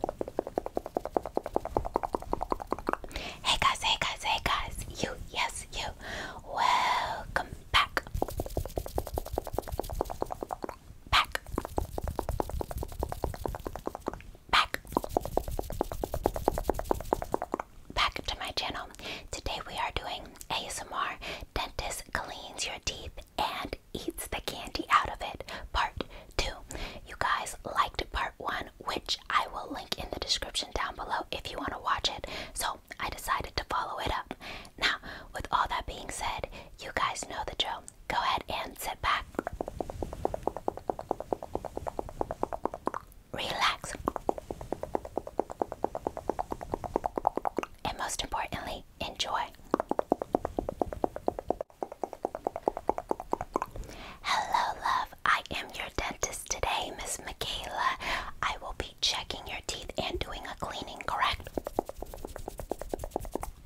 Hey guys, hey guys, hey guys, you, yes, you, welcome back. Back. Back. Back to my channel. Today we are doing ASMR Dentist Cleans Your Teeth and eats the candy out of it. Part 2. You guys liked part 1, which I will link in the description down below if you want to watch it. So I decided to follow it up. Now, with all that being said, you guys know the drill. Go ahead and sit back. Relax. And most importantly, enjoy. Hello, love. I am your dentist today, Miss Michaela. I will be checking your teeth and doing a cleaning, correct?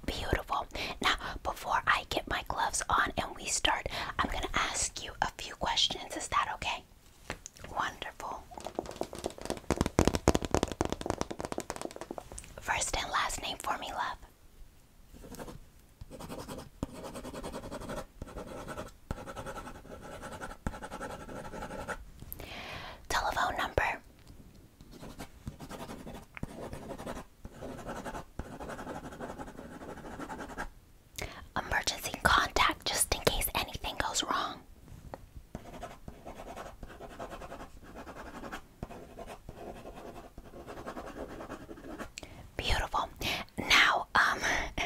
Beautiful. Now, before I get my gloves on and we start, I'm going to ask you a few questions. Is that okay? Wonderful. First and last name for me, love. Telephone number. Emergency contact just in case anything goes wrong. Beautiful. Now, um,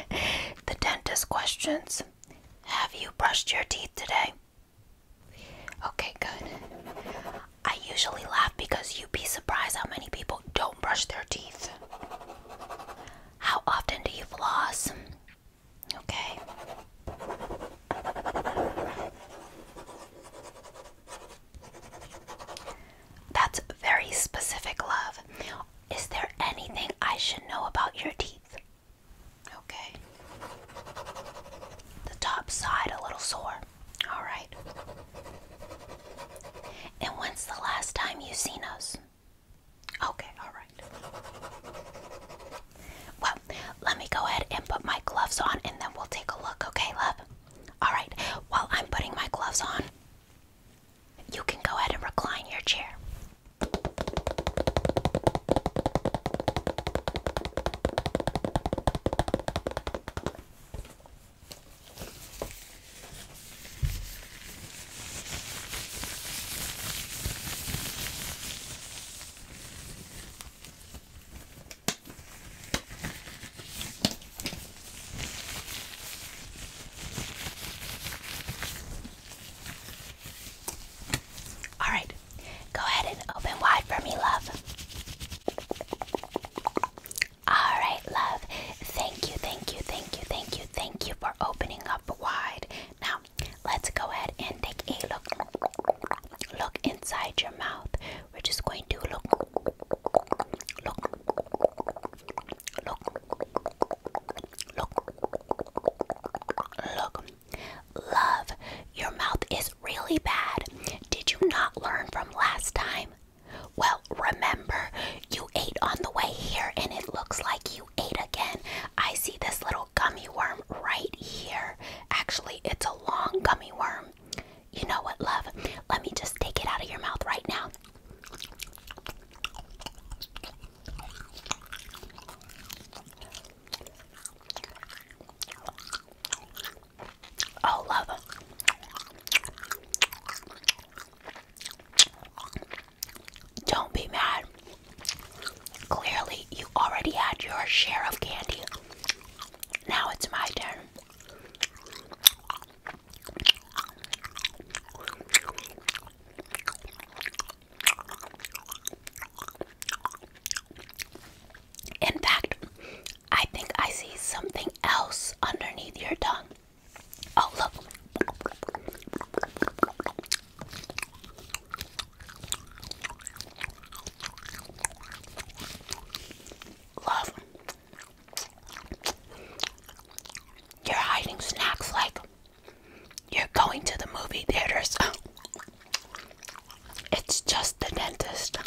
the dentist questions. Have you brushed your teeth today? Okay, good. I usually laugh because you'd be surprised how many people don't brush their teeth. How often do you floss? Okay. That's very specific love. Is there anything I should know about your teeth? Okay. The top side a little sore. All right. And when's the last time you seen us? Okay, all right. Well, let me go ahead and put my gloves on and then we'll take a look, okay, love? All right, while I'm putting my gloves on, you can go ahead and recline your chair. All right, go ahead and open wide for me, love. All right, love. Thank you, thank you, thank you, thank you, thank you for opening up wide. Now, let's go ahead and take a look. Look inside your mouth. We're just going to look, look, look, look, look. Love, your mouth is really bad. Did you not learn from last time? Well, remember, you ate on the way here and it looks like you ate again. I see this little gummy worm right here. Actually, it's a long gummy worm. You know what, love? Let me just take it out of your mouth right now. Oh, love. Don't be mad. Clearly, you already had your share of candy. Now it's my turn. In fact, I think I see something else underneath your tongue. Oh, look. Love. You're hiding snacks like you're going to the movie theaters. It's just the dentist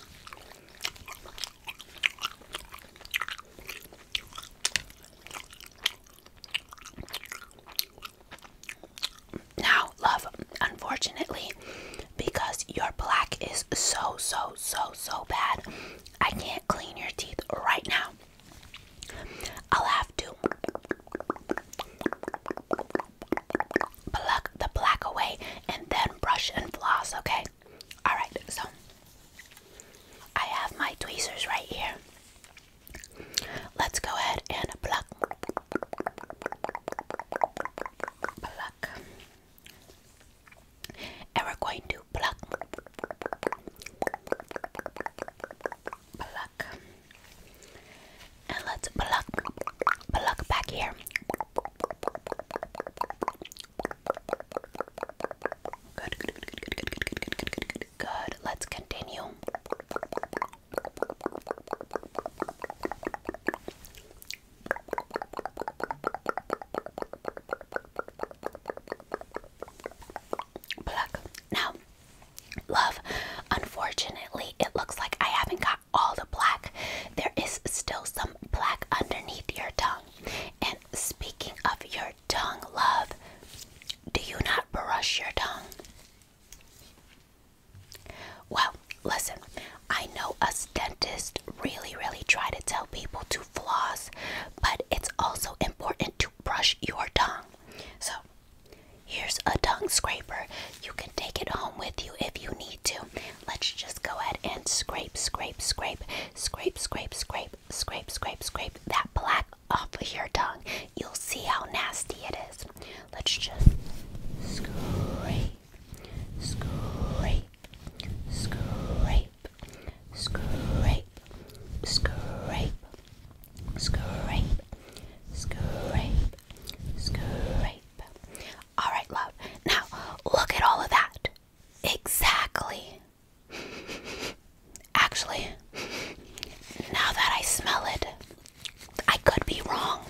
now, love, unfortunately, because your black is so, so, so, so bad, I can't clean your teeth right now. I'll have to pluck the black away and then brush and floss, okay? Alright, so I have my tweezers right here. Let's go ahead and pluck. And we're going to pluck, pluck, and let's pluck, pluck back here. good, good, good, good, good, good, good, good, good, good. Let's continue. Black Now, love, unfortunately, it looks like I haven't got all the black. There is still some black underneath your tongue. And speaking of your tongue, love, do you not brush your tongue? Well, listen, I know us dentists really, really try to tell people to floss, but it's also important to brush your tongue. So, here's a tongue scraper. You can take it home with you if you need to. Let's just go ahead and scrape, scrape, scrape, scrape, scrape, scrape, scrape, scrape, scrape that black off of your tongue. You'll see how nasty it is. Let's just scrape, scrape, scrape, scrape, scrape, scrape, scrape, scrape. All right, love. Now, look at all of that. Exactly. Actually, now that I smell it, I could be wrong.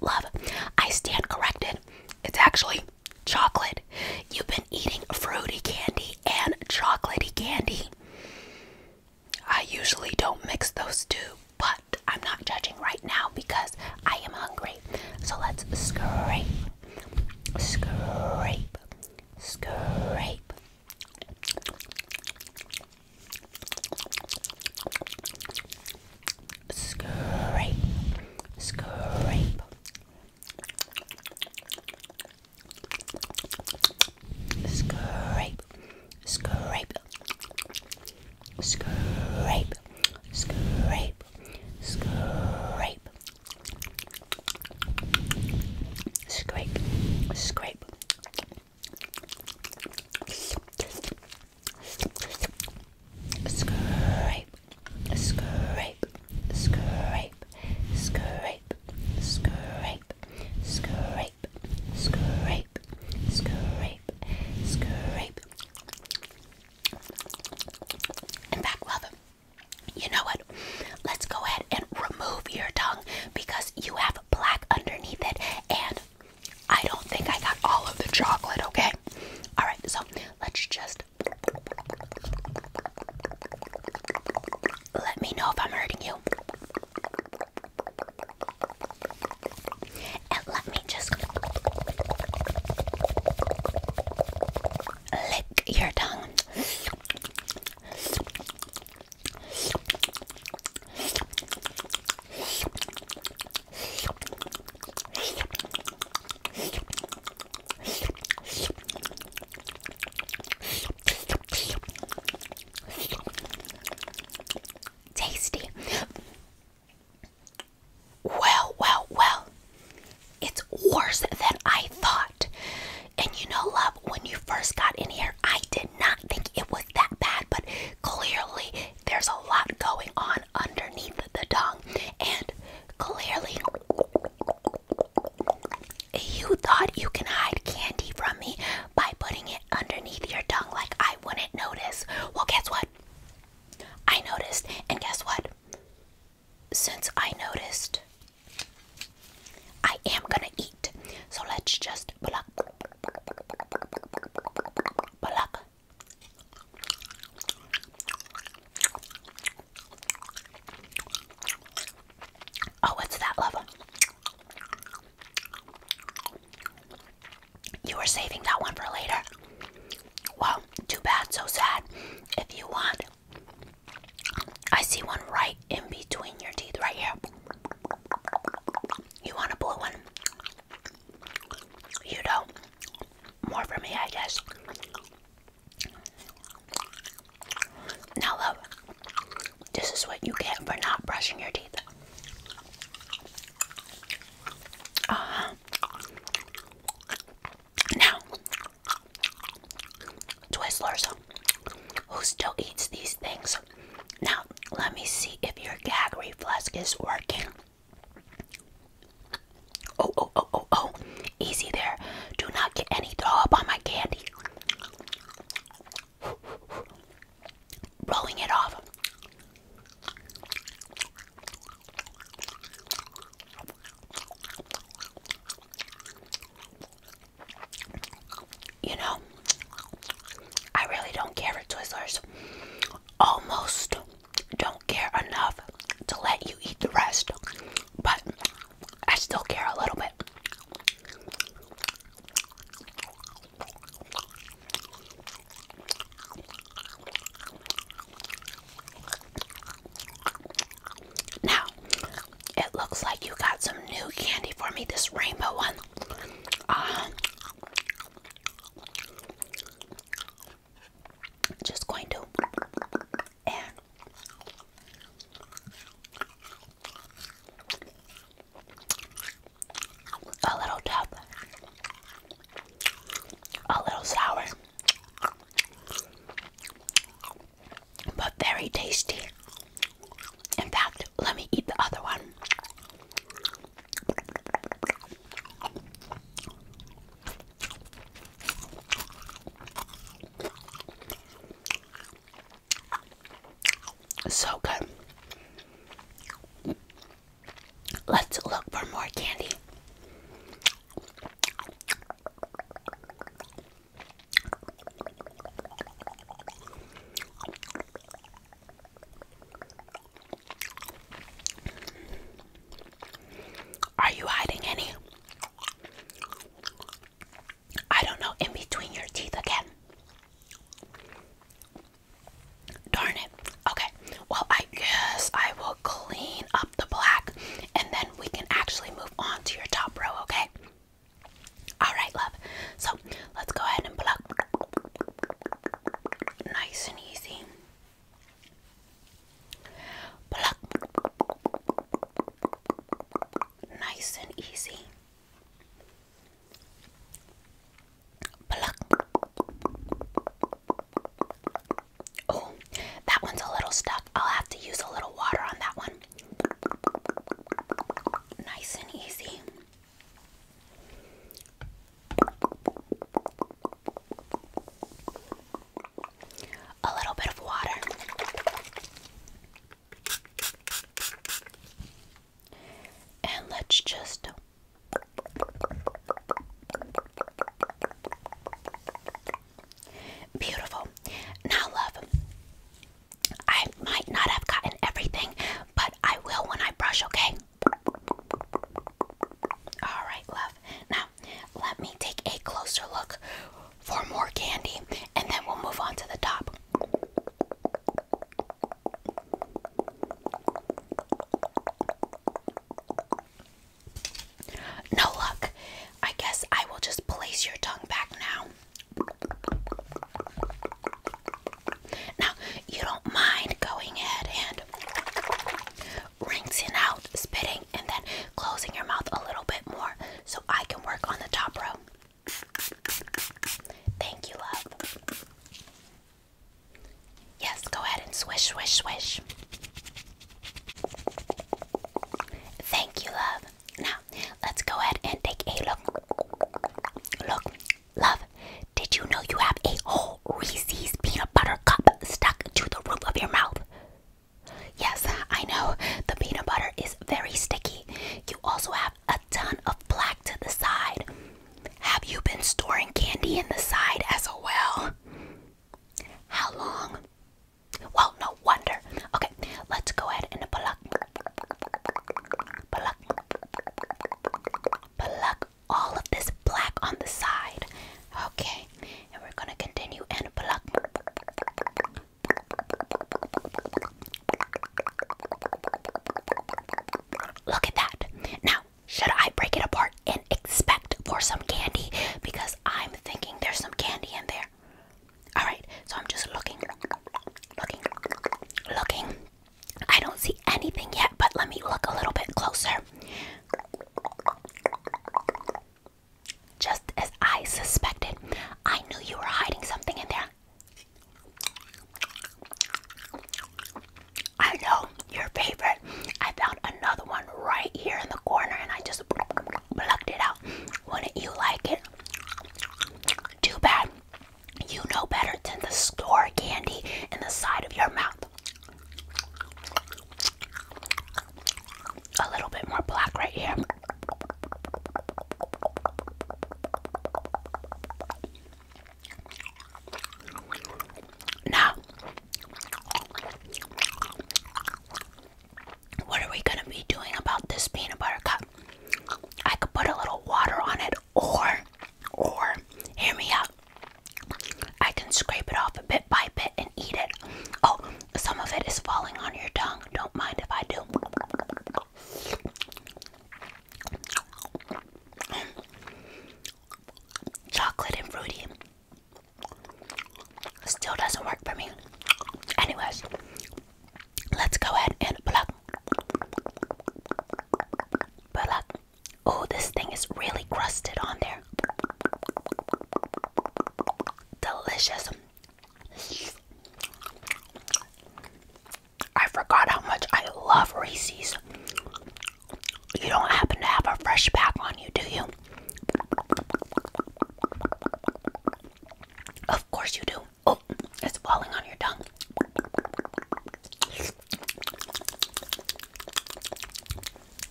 Love, I stand corrected. It's actually chocolate. You've been eating fruity candy and chocolatey candy. I usually don't mix those two, but I'm not judging right now because I am hungry. So let's scrape Scrape, scrape. Scrape, scrape. Scrape, scrape. Scrape, scrape, scrape, scrape, scrape, scrape. Scrape, scrape, scrape, scrape, scrape, scrape, scrape, scrape, scrape, in fact, love, you know what? Let's go ahead and remove your tongue because you have black underneath it, and I don't think I got all of the chocolate, okay? Alright, so let's just. Let me know if I'm hurting you let me just lick your tongue. Tasty. Well, well, well, it's worse than I thought. And you know, love, when you first got in here, I did not think it was that bad, but clearly there's a lot going on underneath the tongue. And clearly, you thought you can hide candy from me by putting it underneath your tongue like I wouldn't notice. Well, guess what? I noticed, and guess what? Since I noticed, I am gonna eat. So let's just pluck, pluck. Oh, what's that, love? you were saving that one for later. Well, too bad, so sad. If you want, I see one right in between your teeth, right here. You want a blue one? You don't. More for me, I guess. Now, love, this is what you get for not brushing your teeth. Uh, now, Twizzlers, who still eats these things? Now, let me see if your gag reflex is working. Oh, oh, oh, oh, oh. Easy there. Do not get any throw up on my candy. Rolling it off. You know, I really don't care for Twizzlers. Almost don't care enough to let you eat the rest, but I still care a little bit. Now, it looks like you got some new candy for me, this rainbow one. Um, just going to and a little dab a little sour, but very tasty. In fact, let me eat the other one. So good. Let's look for more candy. Are you hiding any? I don't know, in between your teeth again. Darn it. Okay. Well, I guess I will clean up the black and then we can actually move on to your top row, okay? Alright, love. So let's go ahead and pluck. Nice and easy. Pluck. Nice and easy. Oh, that one's a little stuck. I'll have to use a little water on that one. Nice and easy. A little bit of water. And let's just Beautiful. Now, love, I might not have gotten everything, but I will when I brush, okay? Alright, love. Now, let me take a closer look for more candy and then we'll move on to the top. No luck. I guess I will just place your tongue back now. Now, you don't mind going ahead and rinsing out, spitting, and then closing your mouth a little bit more so I can work on the top row. Thank you, love. Yes, go ahead and swish, swish, swish. Thank you, love. Now, let's go ahead and take a look. Look, love, did you know you have a whole Reese's peanut butter cup stuck to the roof of your mouth? Yes, I know. The peanut butter is very sticky. You also have a ton of black to the side. Have you been storing candy in the side as well? How long? Well, no wonder. Okay, let's go ahead and pluck, pluck, pluck all of this black on the side. Okay, and we're gonna continue and pluck. Look at that. Now, should I break it apart and expect for some candy? Because I'm thinking there's some candy in there. Alright, so I'm just looking, looking, looking. I don't see anything yet, but let me look a little bit closer. Just as I suspected, I knew you were hiding something in there. I know your favorite. I found another one right here in the corner and I just plucked it out. Wouldn't you like it? Too bad. You know better than to store candy in the side of your mouth. A little bit more black right here. Now, what are we going to be doing about this peanut butter cup? I could put a little water on it, or, or, hear me out. I can scrape it off a bit by bit and eat it. Oh, some of it is falling on your tongue. Don't mind if I do chocolate and fruity still doesn't work for me. Anyways, let's go ahead and pluck. Pluck. Oh, this thing is really crusted on there. Delicious. I forgot how much I love Reese's. You don't happen to have a fresh pack on you, do you? Of course you do. Oh, it's falling on your tongue.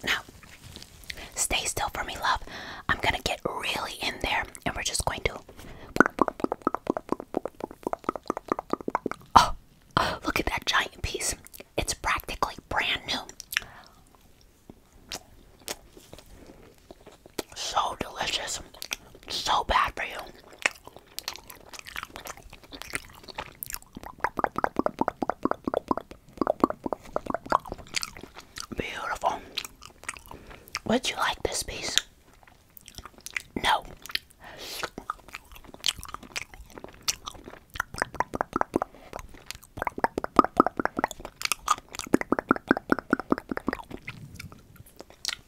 Now, stay still for me, love. I'm gonna get really in there and we're just going to. Oh, Oh, look at that giant piece. It's practically brand new. So delicious. So bad for you. Beautiful. Would you like this piece? No.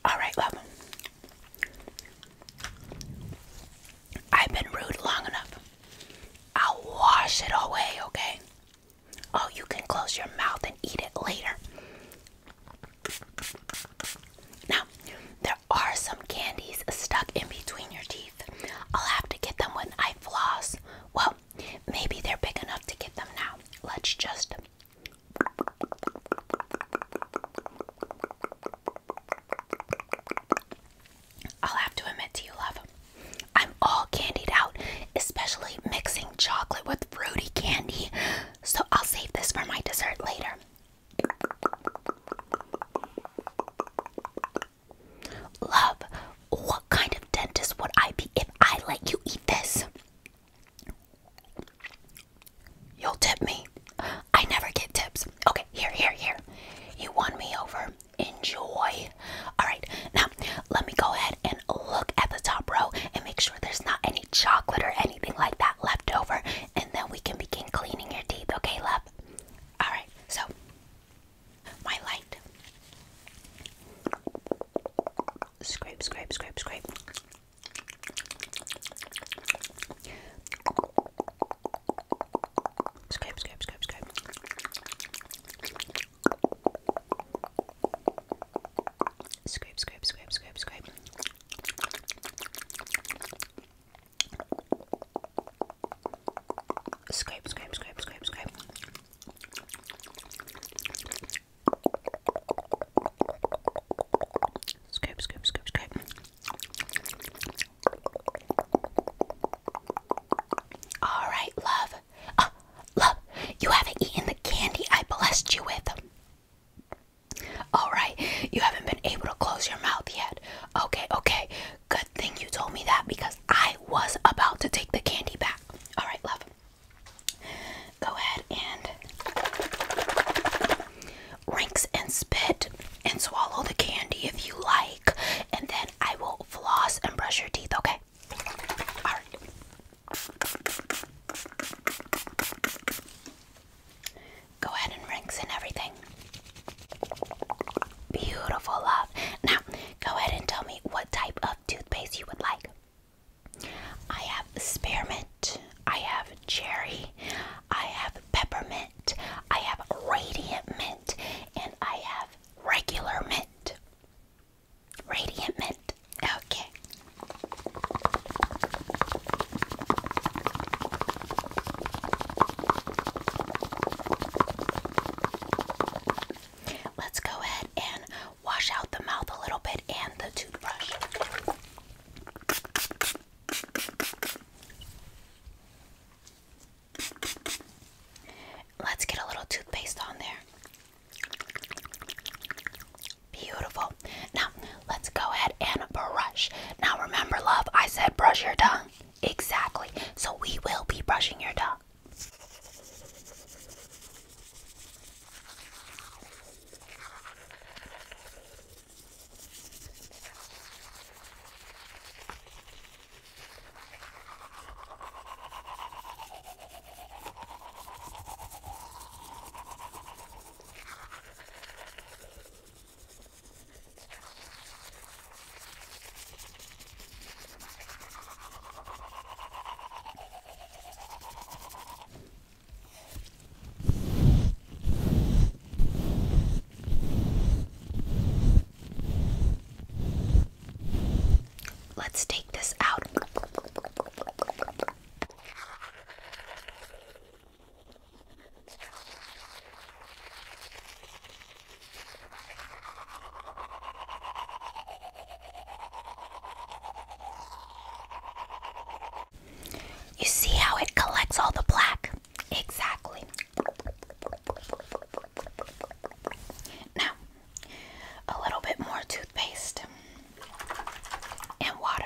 All right, love. I've been rude long enough. I'll wash it away, okay? Oh, you can close your mouth and eat it later. Now, there are some candies stuck in between your teeth. I'll have to get them when I floss. Well, maybe they're big enough to get them now. Let's just. I'll have to admit to you, love. I'm all candied out, especially mixing chocolate with fruity candy. So I'll save this for my dessert later. Love, what kind of dentist would I be if I let you eat this? You'll tip me. I never get tips. Okay, here, here, here. You won me over. Enjoy. Alright, now let me go ahead and look at the top row and make sure there's not any chocolate or anything anything like that left over, and then we can begin cleaning your teeth, okay, love? Alright, so my light. Scrape, scrape, scrape, scrape. Scrape, scrape, scrape, scrape. Scrape, scrape, scrape, scrape, scrape. Scrape, scrape, scrape, scrape, scrape. Scrape, scrape, scrape, scrape. All right, love. Uh, love, you haven't eaten the candy I blessed you with. Alright, you haven't been able to close your mouth yet. Okay, okay. Good thing you told me that because I was about to take the candy back. Alright, love. Go ahead and rinse and spit and swallow the candy if you like. And then I will floss and brush your teeth, okay? Alright. Go ahead and rinse and everything. Beautiful, love. Now, go ahead and tell me what type of toothpaste you would like. I have spearmint, I have cherry, I have peppermint, I have radiant mint, and I have regular mint. Radiant mint. Okay. Let's go ahead and wash out the mouth a little bit and the toothbrush. Let's get a little toothpaste on there. Beautiful. Now, let's go ahead and brush. Now, remember, love, I said brush your tongue. Exactly. So, we will be brushing your tongue. Let's take this out. You see how it collects all the black? Exactly. Now, a little bit more toothpaste and water.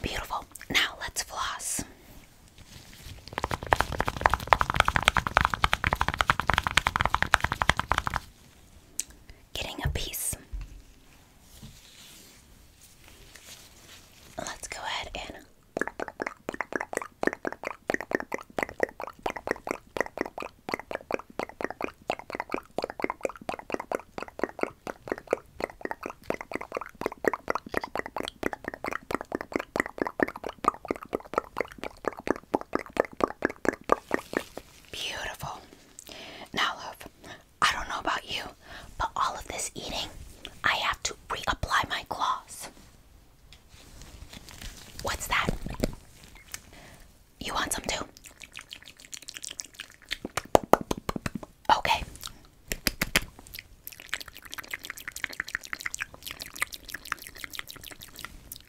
Beautiful. Now let's floss getting a piece. Let's go ahead and Beautiful. Now, love, I don't know about you, but all of this eating, I have to reapply my claws. What's that? You want some too? Okay.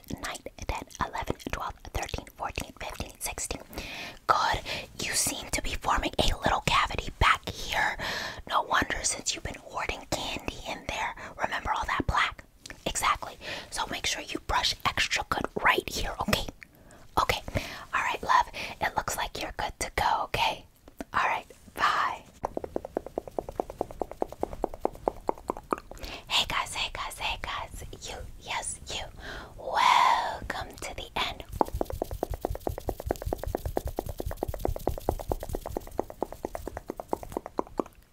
grade Good. You seem to be forming a little cavity back here. No wonder since you've been hoarding candy in there. Remember all that black? Exactly. So make sure you brush extra good right here, okay? Okay. All right, love. It looks like you're good to go, okay? All right. Bye. Hey guys, hey guys, hey guys, you, yes, you. Welcome to the end.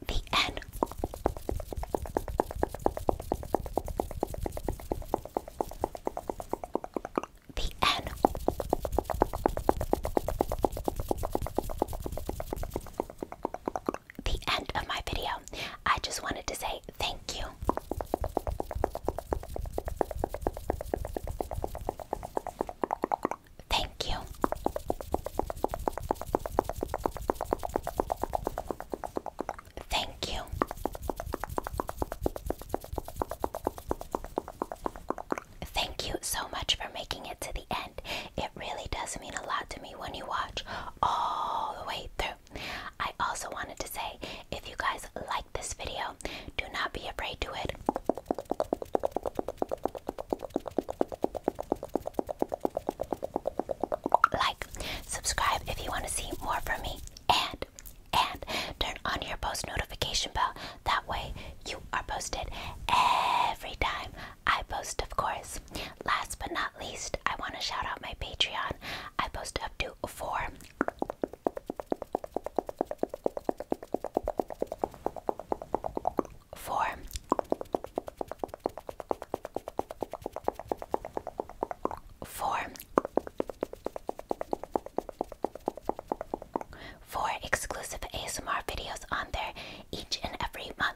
The end. The end the end of my video. I just wanted to say thank you. Thank you. Thank you. Thank you so much for making to the end. It really does mean a lot to me when you watch all the way through. I also wanted to say if you guys like this video, do not be afraid to it. Like, subscribe if you want to see more from me, and and turn on your post notification bell. That way, you are posted every time I post, of course. Last but not least, I want to shout out my Patreon. I post up to four. Four exclusive ASMR videos on there each and every month.